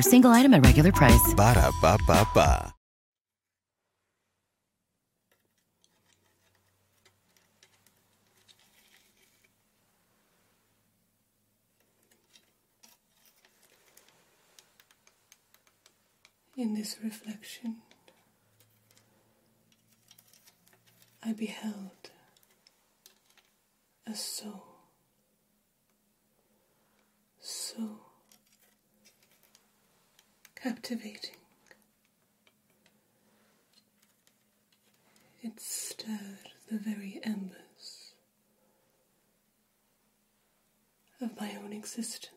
single item at regular price. In this reflection, I beheld a soul so captivating. It stirred the very embers of my own existence.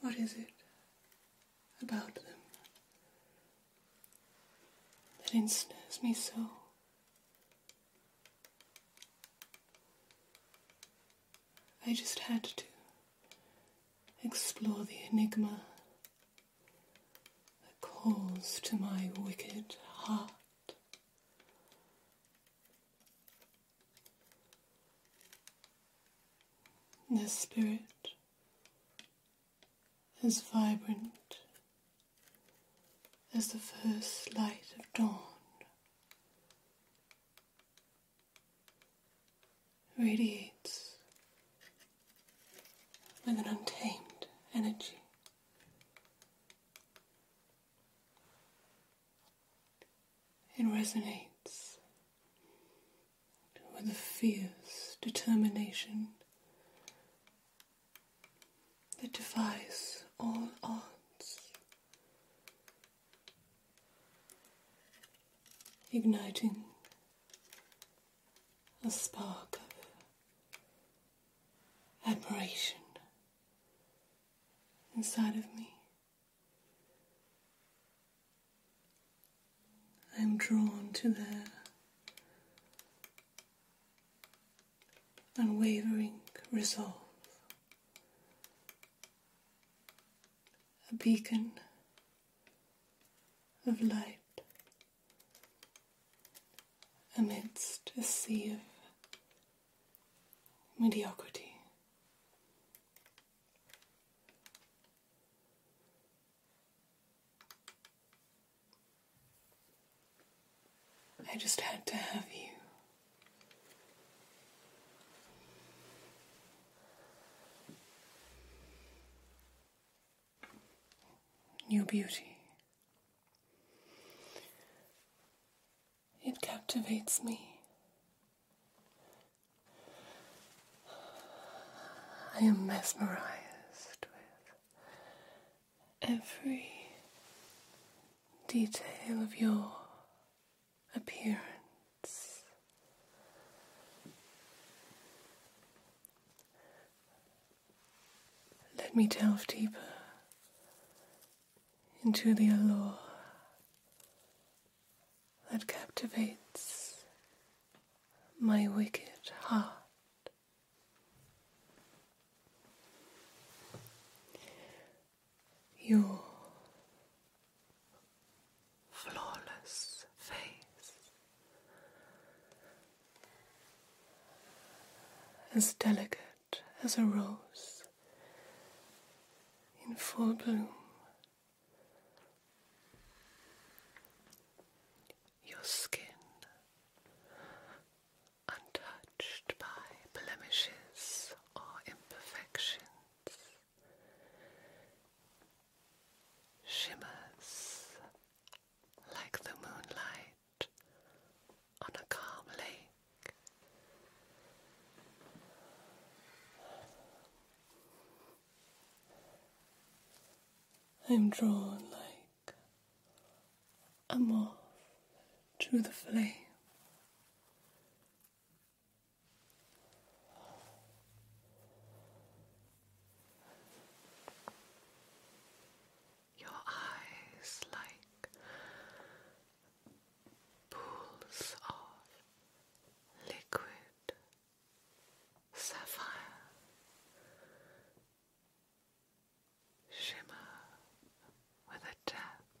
What is it about them that ensnares me so? I just had to explore the enigma that calls to my wicked heart. the spirit as vibrant as the first light of dawn. Radiates with an untamed energy. It resonates with a fierce determination that defies all odds, igniting a spark of admiration inside of me. I'm drawn to their unwavering resolve, a beacon of light amidst a sea of mediocrity. I just had to have you. new beauty. It captivates me I am mesmerized with every detail of your appearance. Let me delve deeper into the allure that captivates my wicked heart. Your flawless face as delicate as a rose in full bloom. Your skin, untouched by blemishes or imperfections, shimmers like the moonlight on a calm lake. I'm drawn like a moth to the flame. Your eyes like pools of liquid sapphire shimmer with a depth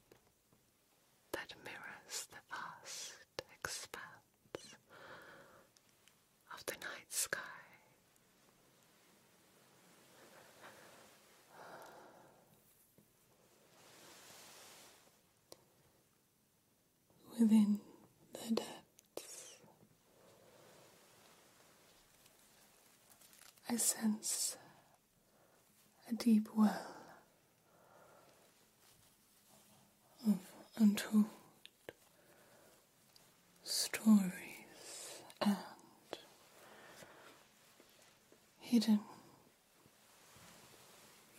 that mirrors the vast expanse of the night sky within the depths. I sense a deep well of untold stories and hidden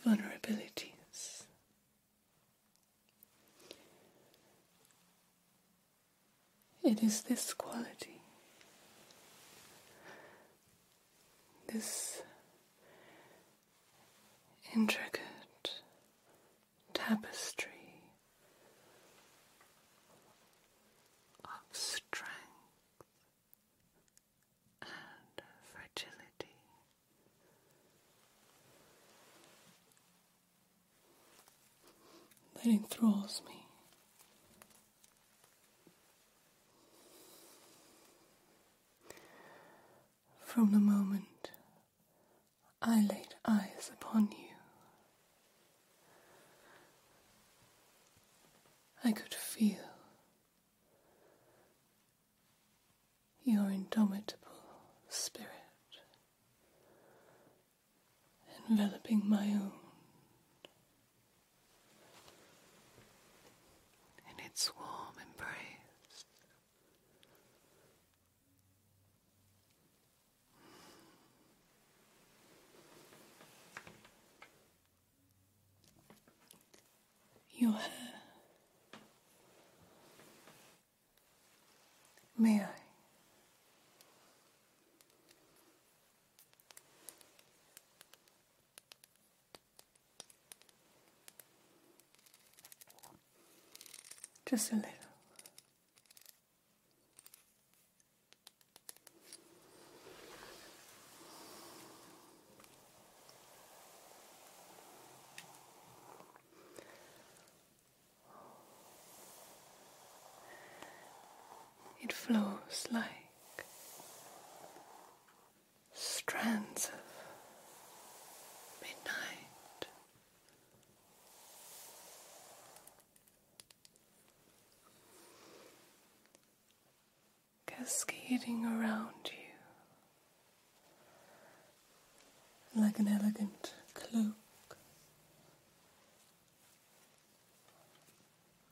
vulnerabilities. It is this quality, this intricate tapestry. Of strength and fragility. That enthralls me. From the moment I laid eyes upon you, I could feel your indomitable spirit, enveloping my own in its warm embrace your hair. May I? Just a little. It flows like strands of midnight cascading around you like an elegant cloak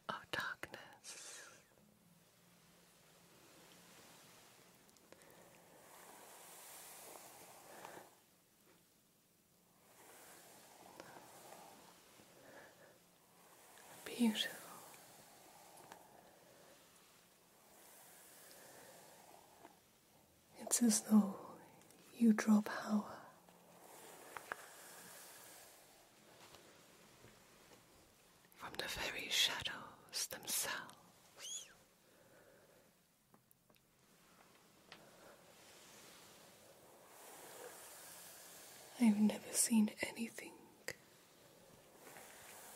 of darkness. Beautiful. It's as though you draw power. From the very shadows themselves. I've never seen anything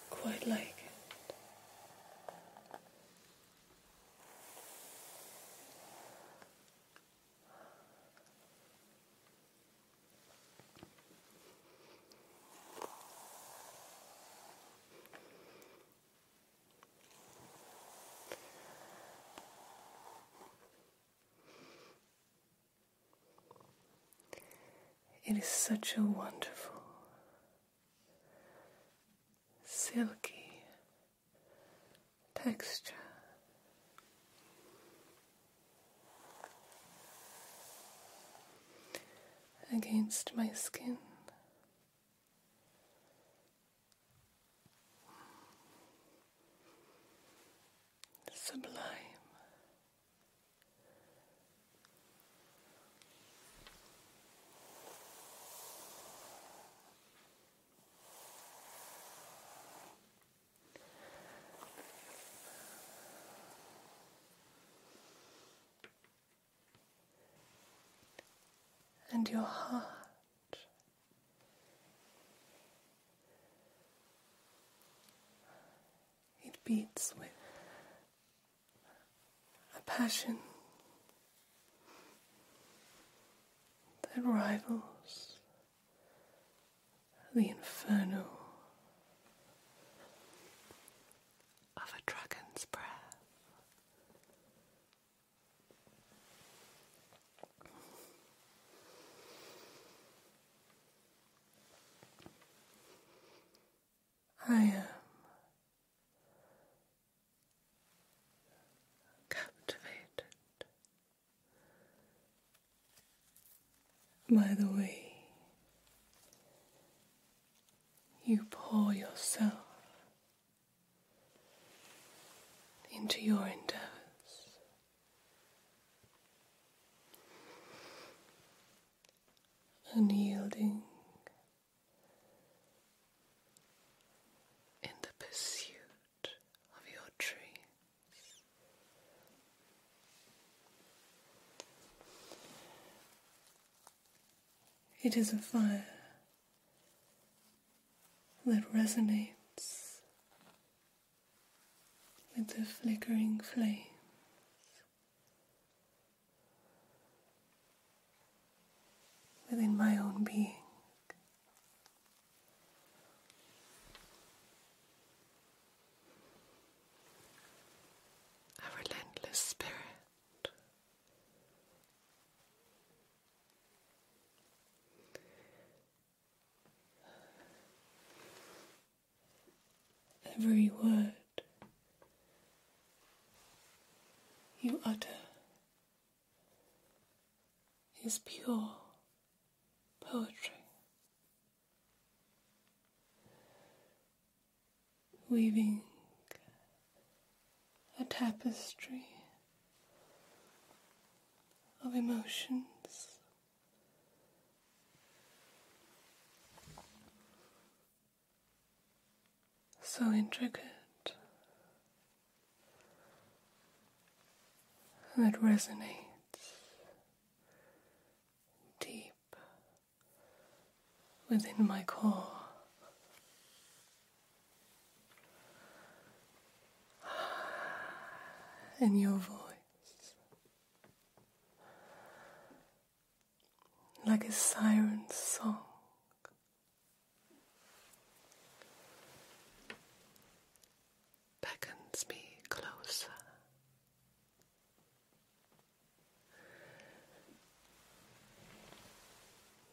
Quite like it is such a wonderful, silky texture. Against my skin. Sublime, and your heart it beats with a passion that rivals the inferno of a dragon's breath. I am captivated by the way you pour yourself into your endeavors unyielding in the pursuit of your dreams. It is a fire that resonates with the flickering flame Within my own being, a relentless spirit. Every word you utter is pure poetry. Weaving a tapestry of emotions so intricate that resonates deep within my core. In your voice, like a siren's song. Beckons me closer.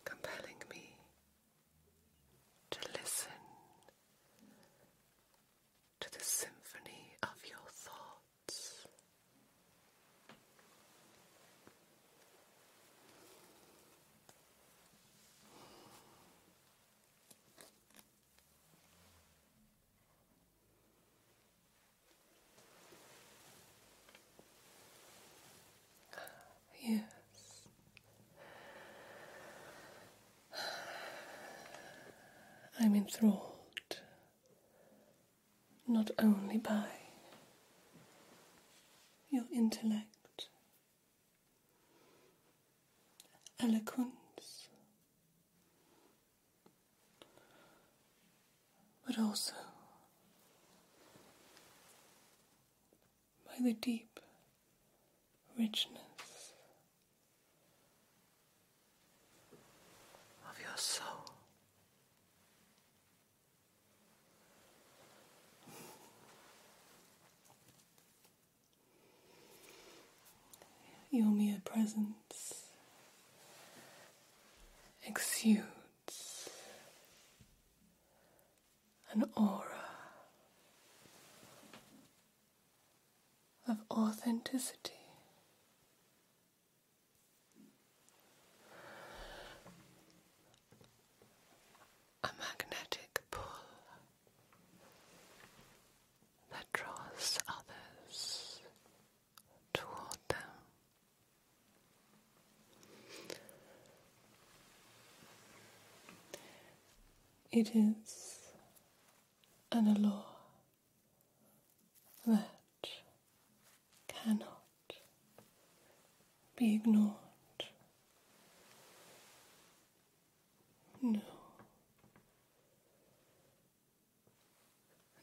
Compelling me to listen to the symphony of your thoughts. Yes, I'm enthralled not only by your intellect, eloquence, but also by the deep richness of your soul. Your mere presence exudes an aura of authenticity. A magnetic pull that draws others toward them. It is and a law that cannot be ignored. No.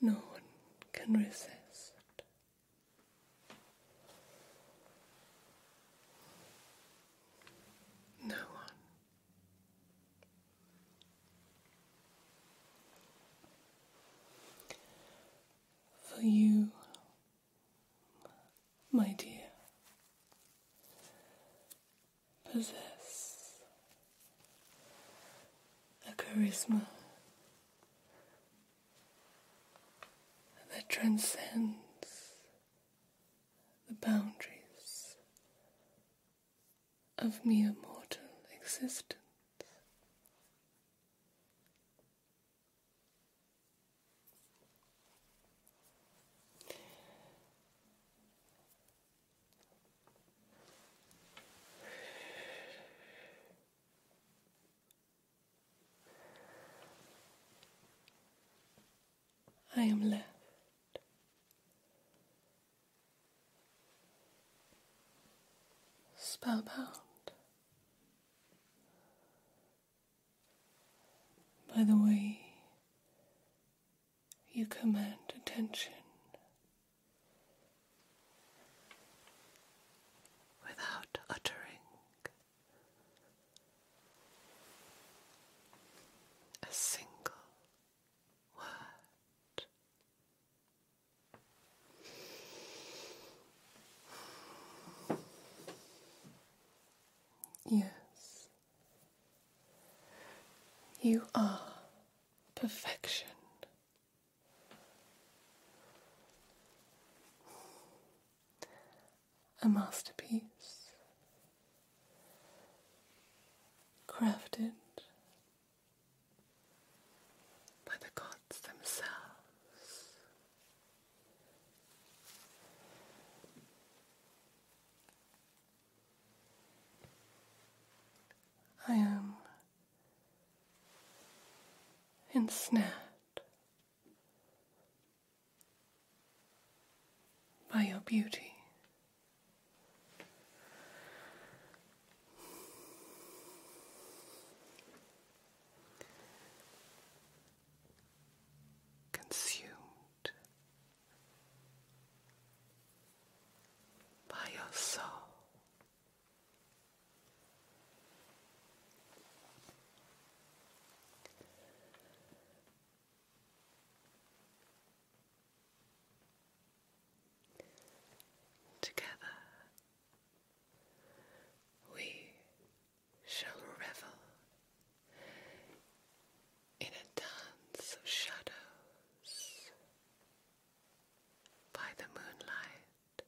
No one can resist. No one for you, my dear, possess a charisma that transcends the boundaries of mere mortal existence. I am left. Spellbound by the way you command attention without uttering a single word. Yes, you are perfection a masterpiece crafted by the gods themselves. I am ensnared by your beauty. Consumed by your soul. Together we shall revel in a dance of shadows by the moonlight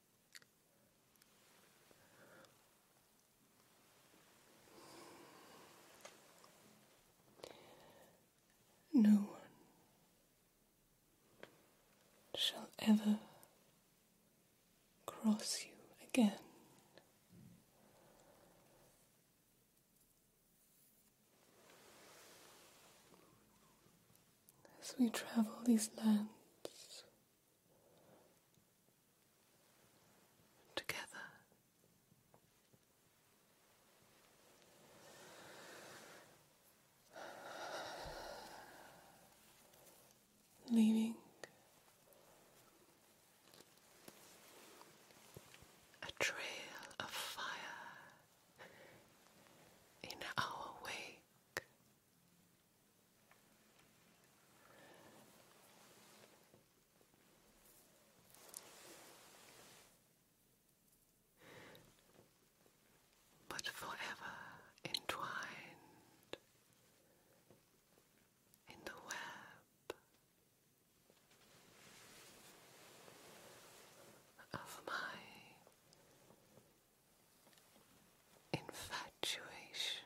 no one shall ever cross you again. As we travel these lands, together. Leaving a trail of fire in our wake, but forever entwined in the web of my infatuation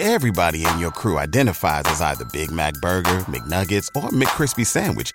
Everybody in your crew identifies as either Big Mac Burger, McNuggets, or McCrispy Sandwich